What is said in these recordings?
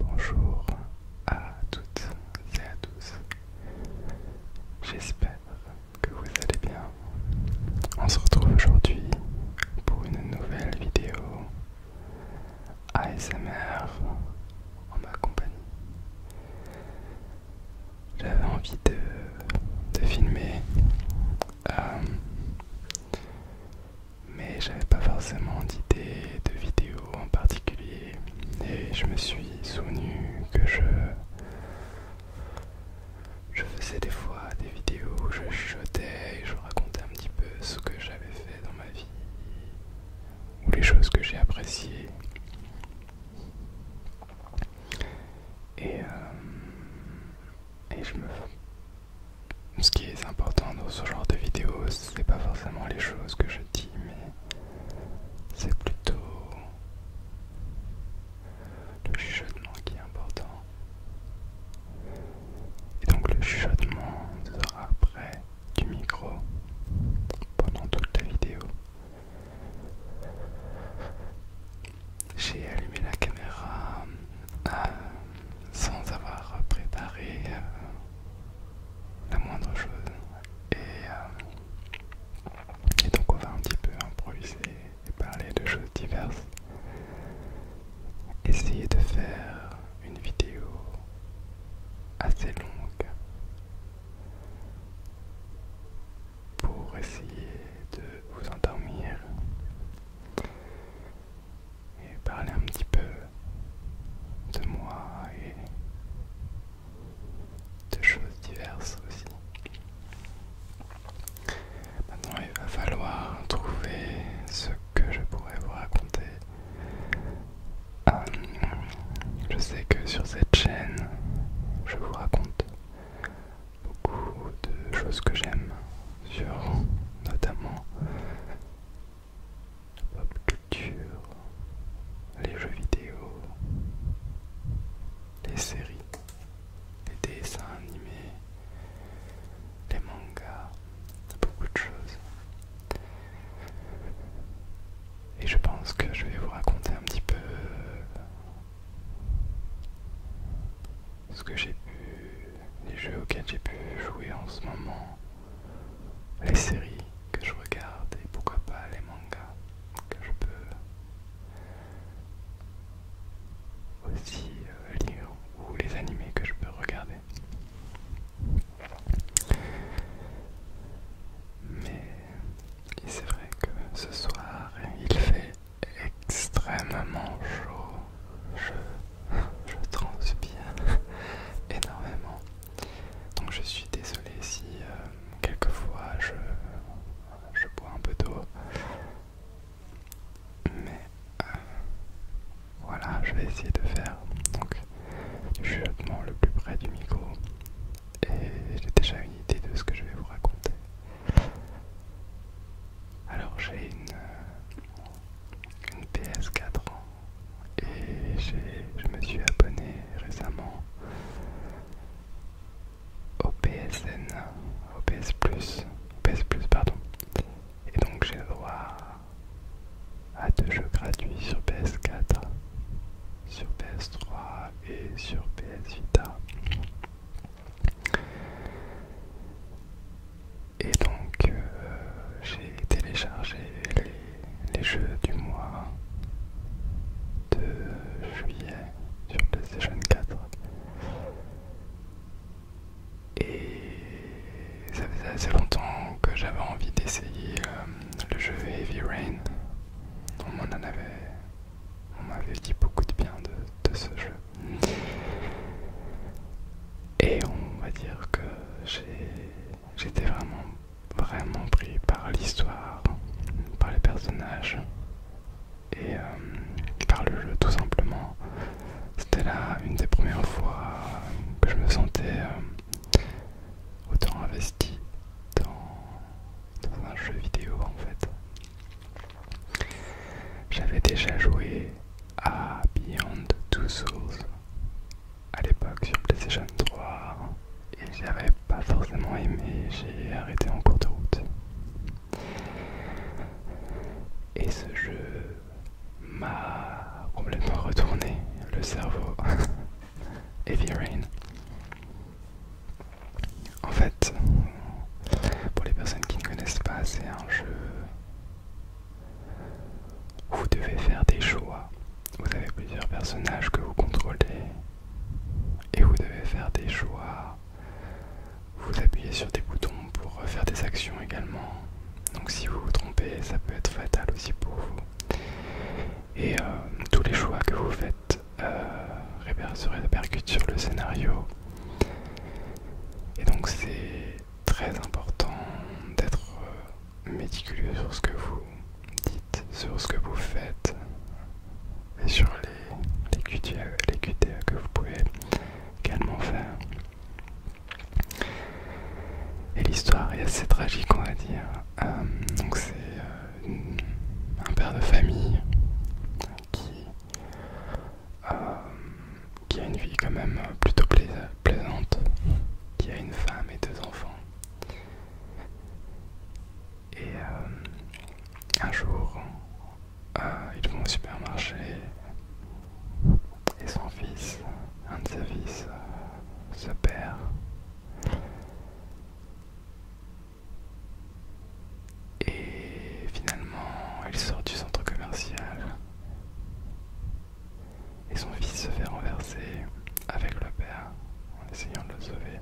Bonjour à toutes et à tous. J'espère que vous allez bien. On se retrouve aujourd'hui pour une nouvelle vidéo ASMR en ma compagnie. J'avais envie de, filmer euh, mais j'avais pas forcément d'idée de vidéo en particulier et je me suis souvenu que je je faisais des fois des vidéos où je chuchotais et je racontais un petit peu ce que j'avais fait dans ma vie ou les choses que j'ai appréciées et, euh, et je me ce qui est important dans ce genre de vidéo, c'est pas forcément les choses que je dis, mais c'est plutôt le chuchotement qui est important. Et donc le chuchotement sera après du micro pendant toute la vidéo. J'ai allumé la caméra euh, sans avoir préparé euh, la moindre chose. Et, euh, et donc on va un petit peu improviser et parler de choses diverses. Essayer de faire une vidéo assez longue pour essayer de vous endormir et parler un petit peu de moi et de choses diverses aussi. Maintenant il va falloir trouver ce que je pourrais vous raconter. Euh, je sais que sur cette chaîne je vous raconte beaucoup de choses que j'aime sur notamment la pop culture, les jeux vidéo, les séries, les dessins animés, les mangas, beaucoup de choses. Et je pense que je vais vous raconter un petit peu euh, ce que j'ai pu, les jeux auxquels j'ai pu jouer en ce moment, les séries que je regarde et pourquoi pas les mangas que je peux aussi euh, lire ou les animés que je peux regarder. Mais c'est vrai que ce soir il fait extrêmement chaud je, transpire énormément. Donc je suis désolé si euh, quelquefois je, bois un peu d'eau. Mais euh, voilà, je vais essayer de faire donc, suis chuchotement le plus près du micro. Et j'ai déjà une idée de ce que je vais vous raconter. Alors j'ai une, euh, PS4 et je me suis abonné récemment au PSN, au PS Plus, PS pardon. Et donc j'ai le droit à deux jeux gratuits sur PS4, sur PS3 et sur PS Vita. Et donc euh, j'ai téléchargé les, jeux du mois de juillet sur PlayStation 4. Et ça faisait assez longtemps que j'avais envie d'essayer euh, le jeu Heavy Rain. On m'en avait, on m'avait dit beaucoup de bien de ce jeu. Et on va dire que j'étais vraiment, vraiment pris par l'histoire, par les personnages et euh, par le jeu tout simplement. C'était là une des premières fois que je me sentais euh, autant investi dans un jeu vidéo en fait. J'avais déjà joué à ah, Beyond Two Souls à l'époque sur PlayStation 3 et j'avais pas forcément aimé, j'ai arrêté en cours de route. Et ce jeu m'a complètement retourné le cerveau. Heavy Rain. En fait, pour les personnes qui ne connaissent pas, c'est un jeu vous devez faire des choix. Vous avez plusieurs personnages que vous contrôlez. Et vous devez faire des choix. Vous appuyez sur des boutons pour faire des actions également. Donc si vous vous trompez, ça peut être fatal aussi pour vous. Et euh, tous les choix que vous faites euh, se répercutent sur le scénario. Et donc c'est très important d'être euh, méticuleux sur ce que vous dites, sur ce que vous faites et sur les, QTA, les que vous pouvez également faire. Et l'histoire est assez tragique, on va dire. Euh, donc c'est euh, un père de famille qui euh, qui a une vie quand même plutôt plaisante, qui a une femme et deux enfants. Et euh, un jour, euh, ils vont au supermarché et son fils, un de ses fils, se perd. Et finalement, il sort du centre commercial et son fils se fait renverser avec le père en essayant de le sauver.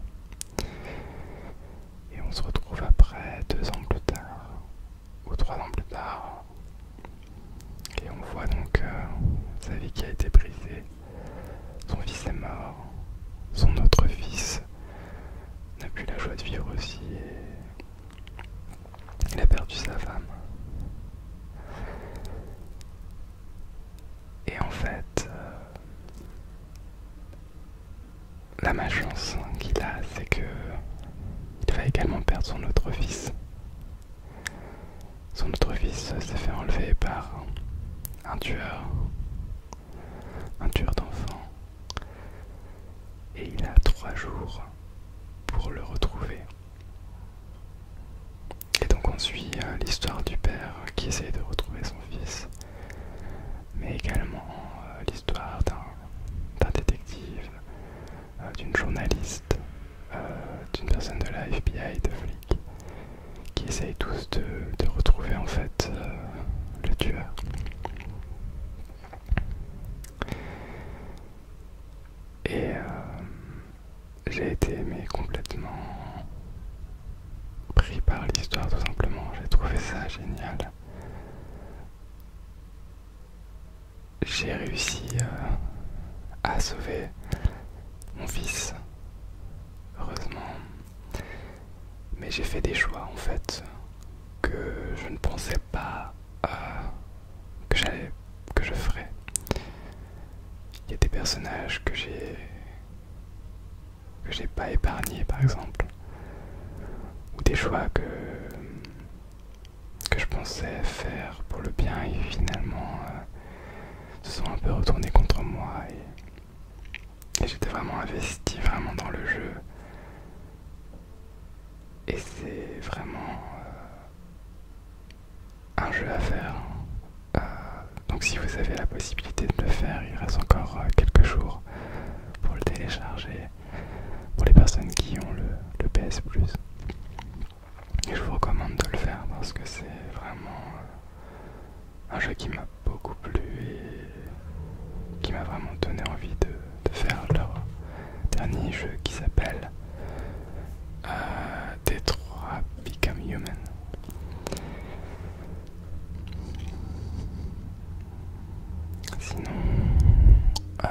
Et on se retrouve après, deux ans plus tard, ou trois ans plus tard, et on voit donc euh, sa vie qui a été brisée, son fils est mort, son autre fils n'a plus la joie de vivre aussi, il a perdu sa femme. Et en fait, euh, la malchance qu'il a, c'est qu'il va également perdre son autre fils. Son autre fils s'est fait enlever par un tueur, un tueur d'enfants, et il a trois jours pour le retrouver. Et donc on suit euh, l'histoire du père qui essaye de retrouver son fils, mais également euh, l'histoire d'un détective, euh, d'une journaliste, d'une personne de la FBI, de flic, qui essayent tous de, retrouver en fait le tueur. Et euh, j'ai été complètement pris par l'histoire tout simplement. J'ai trouvé ça génial. J'ai réussi euh, à sauver mon fils, heureusement. Mais j'ai fait des choix en fait que je ne pensais pas euh, que j'allais que je ferais. Il y a des personnages que j'ai que j'ai pas épargné par exemple ou des choix que que je pensais faire pour le bien et finalement euh, se sont un peu retournés contre moi et, j'étais vraiment investi vraiment dans le jeu et c'est vraiment euh, un jeu à faire. Euh, donc si vous avez la possibilité de le faire, il reste encore euh, quelques jours pour le télécharger pour les personnes qui ont le, PS Plus. Et je vous recommande de le faire parce que c'est vraiment euh, un jeu qui m'a beaucoup plu et qui m'a vraiment donné envie de, de faire leur, dernier jeu qui s'appelle euh, Détroit Become Human. Sinon, euh,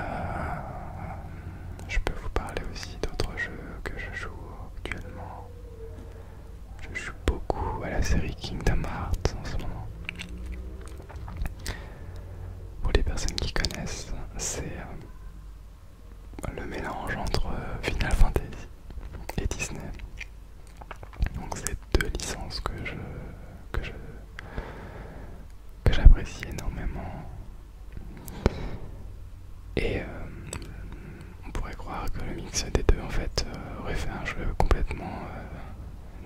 je peux vous parler aussi d'autres jeux que je joue actuellement. Je joue beaucoup à la série Kingdom Hearts en ce moment. Pour les personnes qui connaissent, c'est euh, le mélange entre euh, Final Fantasy et Disney. Donc c'est deux licences que je que je que j'apprécie énormément. Et euh, on pourrait croire que le mix des deux en fait euh, aurait fait un jeu complètement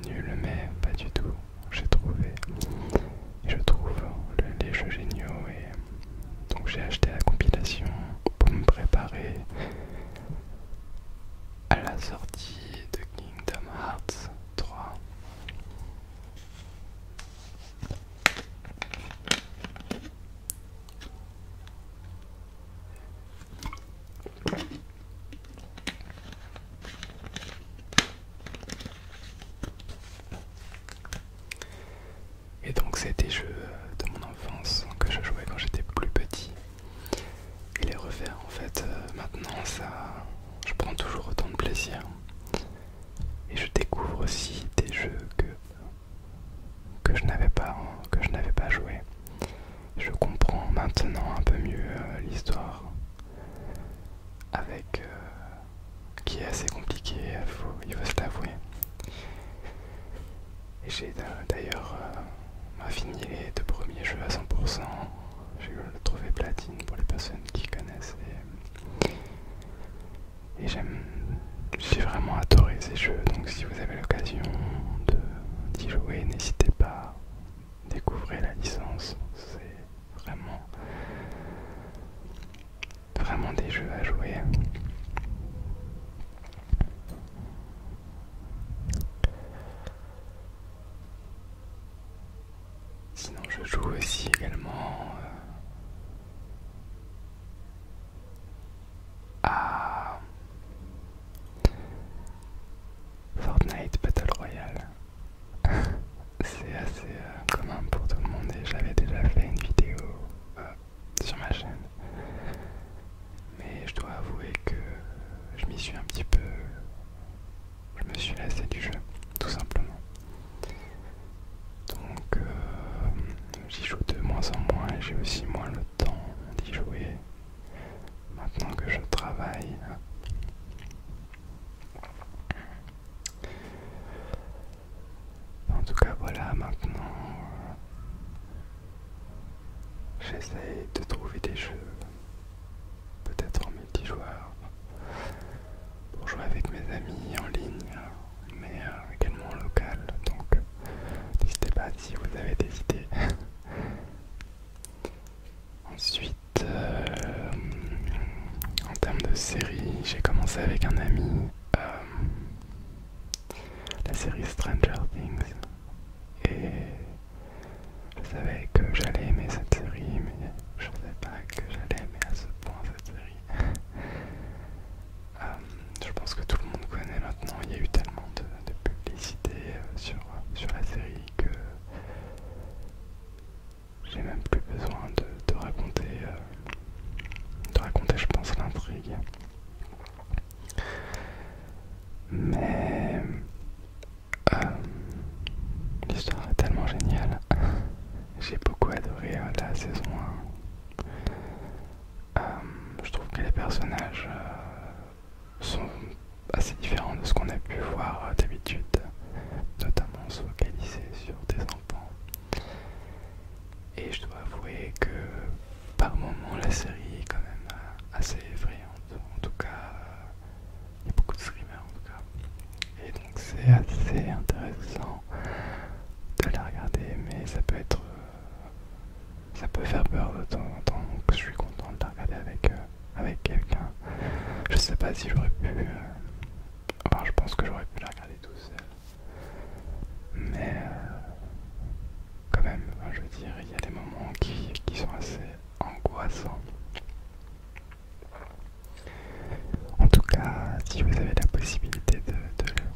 nul, mais pas du tout j'ai trouvé. je trouve les jeux géniaux et donc j'ai acheté la compilation pour me préparer à la sortie de Kingdom Hearts 3. Et donc c'est des jeux de mon enfance que je jouais quand j'étais plus petit. Et les refaire en fait euh, maintenant ça je prends toujours autant de plaisir. Et je découvre aussi des jeux que, que je n'avais pas que je n'avais pas joué. Je comprends maintenant un peu mieux euh, l'histoire avec euh, qui est assez compliqué, faut, il faut se l'avouer. Et j'ai euh, d'ailleurs euh, fini les deux premiers jeux à 100%. J'ai trouvé le trophée platine pour les personnes qui connaissent. Et, j'aime, j'ai vraiment adoré ces jeux. Donc si vous avez l'occasion d'y jouer, n'hésitez pas. Découvrez la licence, c'est vraiment vraiment des jeux à jouer. Sinon je joue aussi également euh, à Fortnite Battle Royale. c'est assez euh, commun pour tout le monde et j'avais déjà fait une vidéo euh, sur ma chaîne. Mais je dois avouer que je m'y suis un petit peu... Je me suis laissé du jeu, tout simplement. Donc euh, j'y joue de moins en moins et j'ai aussi moins le temps d'y jouer maintenant que je travaille. En tout cas, voilà, maintenant, euh, j'essaie de trouver des jeux, peut-être en multijoueur, pour jouer avec mes amis en ligne, mais euh, également local. Donc, n'hésitez pas si vous avez des idées. Ensuite, euh, en termes de série, j'ai commencé avec un ami euh, la série Stranger Things et je savais que j'allais aimer cette série, mais je ne savais pas que j'allais aimer à ce point cette série. Euh, je pense que tout le monde connaît maintenant, il y a eu tellement de, publicité euh, sur, sur la série que j'ai même plus besoin de, raconter, euh, raconter, je pense, l'intrigue. Mais euh, l'histoire est tellement géniale. J'ai beaucoup adoré euh, la saison 1. je trouve que les personnages sont assez différents de ce qu'on a pu voir d'habitude, notamment se focaliser sur des enfants. Et je dois avouer que par moments la série est quand même euh, assez effrayante. En tout cas, euh, il y a beaucoup de streamers en tout cas. Et donc c'est assez intéressant de la regarder, mais ça peut être... Euh, ça peut faire peur de temps en temps, donc je suis content de la regarder avec, avec quelqu'un. Je sais pas si j'aurais pu ah bah, je pense que j'aurais pu la regarder tout seul. Mais euh, quand même, hein, je veux dire, il y a des moments qui, sont assez angoissants. En tout cas, si vous avez la possibilité de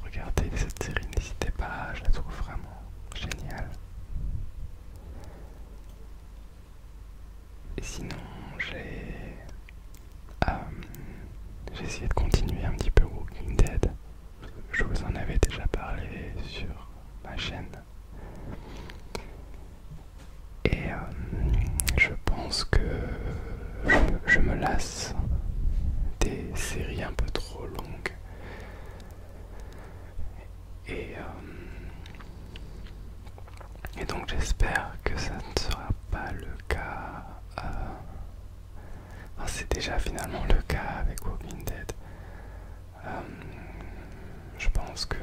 regarder cette série, n'hésitez pas, je la trouve vraiment géniale. Et sinon, j'ai euh, j'ai essayé de continuer un petit peu Walking Dead. Je vous en avais déjà parlé sur ma chaîne. Et euh, je pense que je, me lasse des séries un peu trop longues. Et euh, et donc j'espère que ça ne sera pas le cas. Euh, c'est déjà finalement le cas avec Walking Dead. Euh, je pense que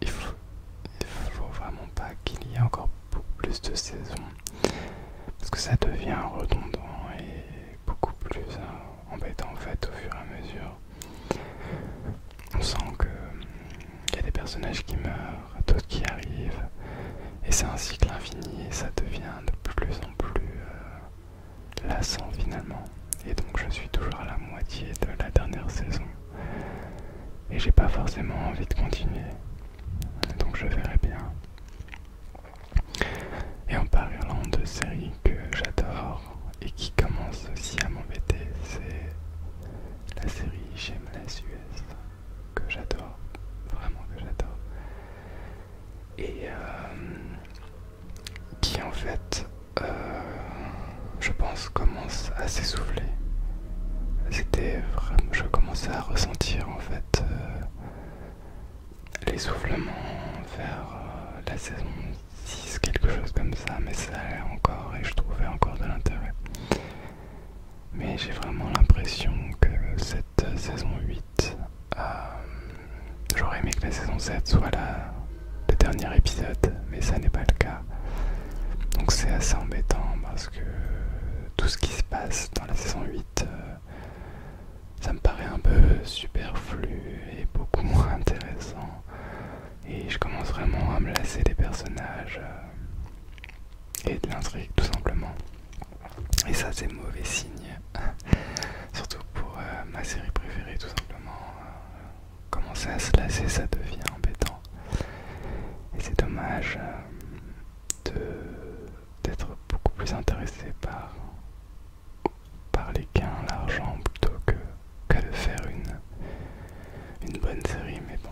il faut, vraiment pas qu'il y ait encore beaucoup plus de saisons parce que ça devient redondant et beaucoup plus euh, embêtant en fait au fur et à mesure. On sent que il y a des personnages qui meurent, d'autres qui arrivent, et c'est un cycle infini et ça devient de plus en plus euh, lassant finalement. Et donc je suis toujours à la moitié de la dernière saison et j'ai pas forcément envie de continuer. Donc je verrai bien. Et en parlant de séries que j'adore et qui commencent aussi à m'embêter, c'est la série J'aime la US que j'adore, vraiment que j'adore, et euh, qui en fait, euh, je pense, commence à s'essouffler. C'était vraiment, je commençais à ressentir en fait les euh, l'essoufflement vers la saison 6, quelque chose comme ça, mais ça allait encore et je trouvais encore de l'intérêt. Mais j'ai vraiment l'impression que cette saison 8, euh, j'aurais aimé que la saison 7 soit le dernier épisode, mais ça n'est pas le cas. Donc c'est assez embêtant parce que tout ce qui se passe dans la saison 8, euh, ça me paraît un peu superflu et beaucoup moins intéressant. Et je commence vraiment à me lasser des personnages. Euh, et de l'intrigue tout simplement. Et ça c'est mauvais signe, surtout pour euh, ma série préférée tout simplement. Euh, commencer à se lasser ça devient embêtant. Et c'est dommage euh, d'être beaucoup plus intéressé par, par les gains, l'argent plutôt que, que de faire une, une bonne série. Mais bon,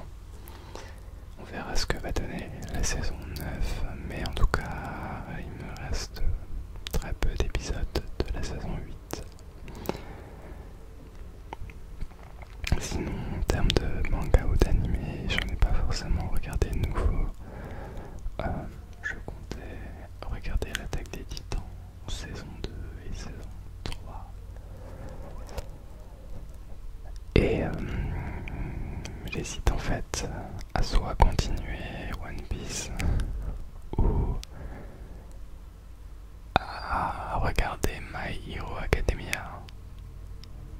on verra ce que va donner la saison 9, mais en tout cas, il me reste très peu d'épisodes de la saison 8. Sinon, en termes de manga ou d'anime, n'en ai pas forcément regardé de nouveau. Euh, je comptais regarder l'attaque des titans, saison 2 et saison 3. Et euh, j'hésite en fait à soit continuer One Piece ou à regarder My Hero Academia.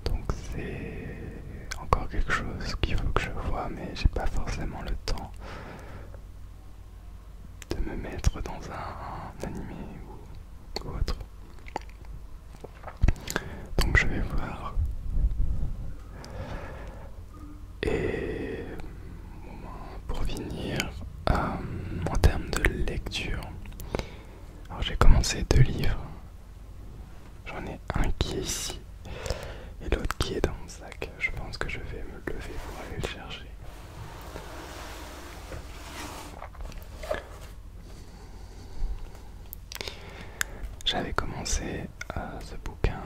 Donc c'est encore quelque chose qu'il faut que je vois, mais j'ai pas forcément le temps de me mettre dans un, anime animé ou autre. Donc je vais voir. Et pour finir, euh, en termes de lecture, alors j'ai commencé deux livres. J'en ai un qui est ici et l'autre qui est dans le sac. Je pense que je vais me lever pour aller le chercher. J'avais commencé euh, ce bouquin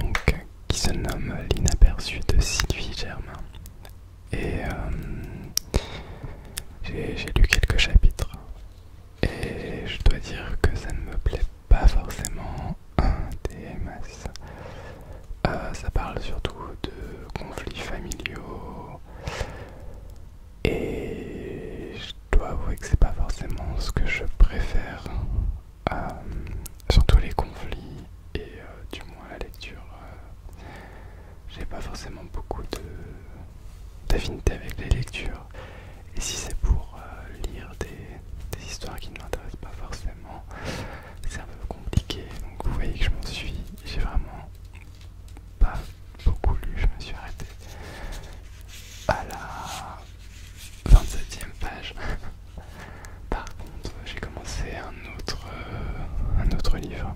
donc, qui se nomme L'inaperçu de Sylvie Germain. Et euh, j'ai lu quelques chapitres. Et je dois dire que ça ne me plaît pas forcément des euh, ça parle surtout de conflits familiaux. Et je dois avouer que c'est pas forcément ce que je préfère. Euh, surtout les conflits et euh, du moins la lecture. J'ai pas forcément beaucoup d'affinité avec les lectures. Et si c'est pour lire des histoires qui ne m'intéressent pas forcément, c'est un peu compliqué. Donc vous voyez que je m'en suis, j'ai vraiment pas beaucoup lu. Je me suis arrêté à la 27 ème page. Par contre, j'ai commencé un autre, euh, un autre livre.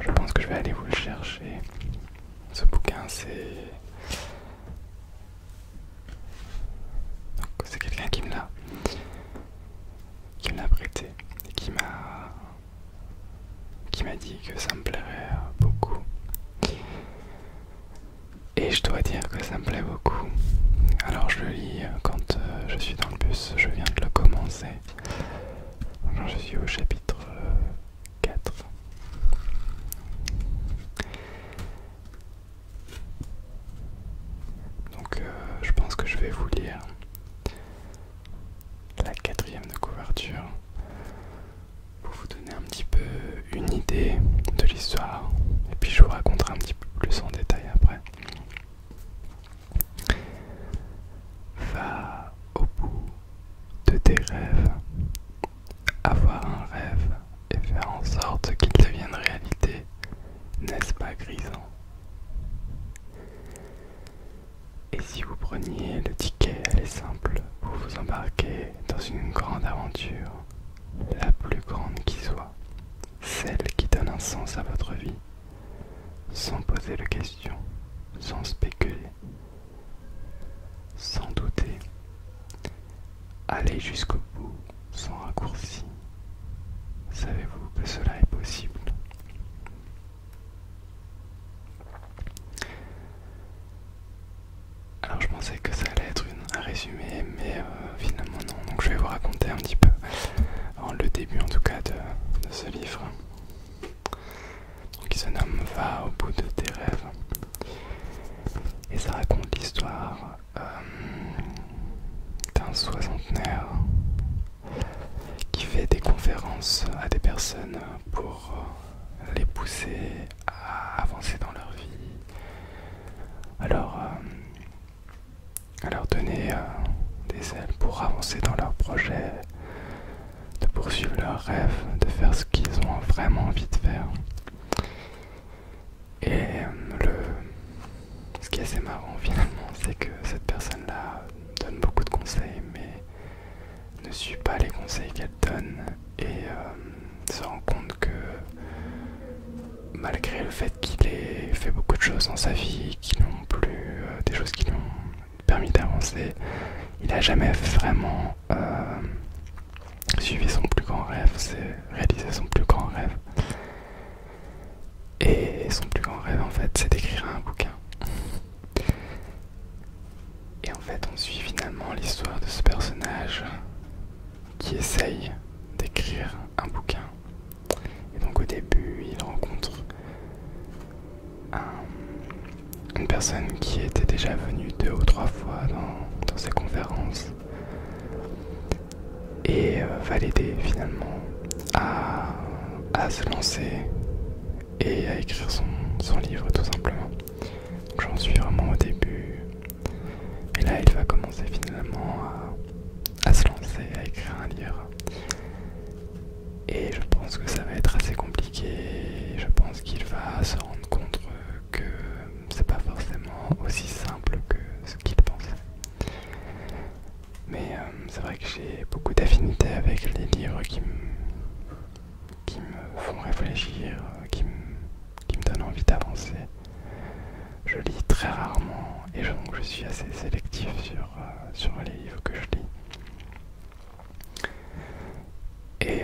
je pense que je vais aller vous le chercher. Ce bouquin, c'est c'est quelqu'un qui me l'a qui m'a l'a prêté et qui m'a qui m'a dit que ça me plairait beaucoup. Et je dois dire que ça me plaît beaucoup. Alors je le lis quand euh, je suis dans le bus, je viens de le commencer. je suis au chapitre 4. Euh, donc euh, je pense que je vais vous lire la quatrième de couverture pour vous donner un petit peu une idée de l'histoire et puis je vous raconterai un petit peu plus en détail après. Va au bout de tes rêves, avoir un rêve et faire en sorte qu'il devienne réalité, n'est-ce pas grisant et si vous preniez le ticket, elle est simple, vous vous embarquez dans une grande aventure, la plus grande qui soit, celle qui donne un sens à votre vie, sans poser de questions, sans spéculer, sans douter. Allez jusqu'au bout sans raccourci. Savez-vous que cela est possible Alors je pensais que ça allait être un résumé, mais euh, finalement non. Donc je vais vous raconter un petit peu le début en tout cas de, ce livre. qui se nomme Va au bout de tes rêves. Et ça raconte l'histoire euh, d'un soixantenaire qui fait des conférences à des personnes pour euh, les pousser à avancer dans leur vie, euh, à leur, donner euh, des ailes pour avancer dans leurs projets, de poursuivre leurs rêves, de faire ce qu'ils ont vraiment envie de faire. Et le ce qui est assez marrant finalement, c'est que cette personne-là donne beaucoup de conseils, mais ne suit pas les conseils qu'elle donne et euh, se rend compte que malgré le fait qu'il ait fait beaucoup de choses dans sa vie, qui n'ont plus euh, des choses qui lui ont permis d'avancer, il n'a jamais vraiment euh, suivi son plus grand rêve, c'est réaliser son plus grand rêve. Et son plus grand rêve en fait c'est d'écrire un bouquin. Et en fait on suit finalement l'histoire de ce personnage qui essaye d'écrire un bouquin. Et donc au début il rencontre une personne qui était déjà venue deux ou trois fois dans ses conférences et euh, va l'aider finalement à, se lancer et à écrire son, livre tout simplement. J'en suis vraiment au début. Et là, il va commencer finalement à, à se lancer, à écrire un livre. Et je pense que ça va être assez compliqué. Je pense qu'il va se rendre compte que c'est pas forcément aussi simple que ce qu'il pensait. Mais euh, c'est vrai que j'ai beaucoup d'affinités avec les livres qui me, qui me font réfléchir, euh, qui me, qui me donnent envie d'avancer. Je lis très rarement et donc je suis assez sélectif sur, euh, sur les livres que je lis. Et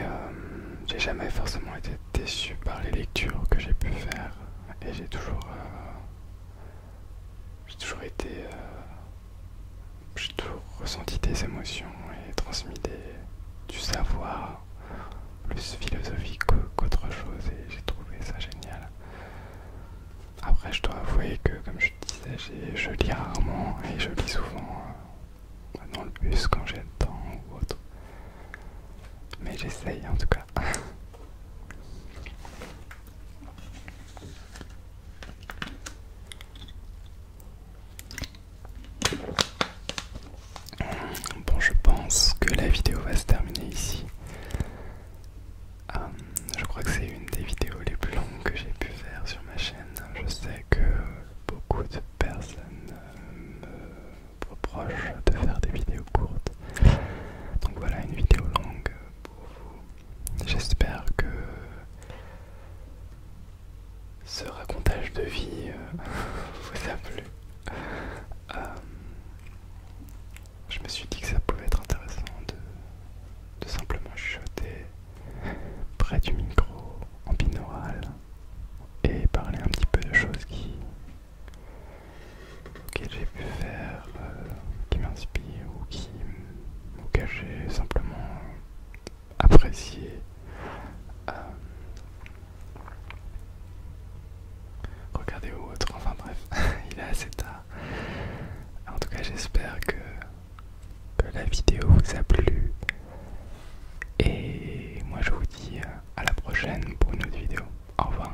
j'ai jamais forcément été déçu par les lectures que j'ai pu faire et j'ai toujours j'ai toujours été. Euh, j'ai toujours ressenti des émotions et transmis du savoir plus philosophique qu'autre chose et j'ai trouvé ça génial. Après, je dois avouer que, comme je disais, je lis rarement et je lis souvent euh, dans le bus quand j'ai le temps ou autre. Mais j'essaye en tout cas. Bon, je pense que la vidéo va se terminer ici. Euh, je crois que c'est une des vidéos les plus longues que j'ai pu faire sur ma chaîne. Je sais que beaucoup de personnes euh, me reprochent de faire des vidéos courtes. Donc voilà une vidéo longue euh, J'espère que ce racontage de vie euh, vous a plu. Euh, je me suis dit que ça pouvait être intéressant de, de simplement chuchoter près du micro en binaural et parler un petit peu de choses qui que j'ai pu faire euh, qui m'inspire ou qui ou j'ai simplement apprécié euh, regardez autre enfin bref il est assez tard en tout cas j'espère que, que la vidéo vous a plu et moi je vous dis à la prochaine pour une autre vidéo au revoir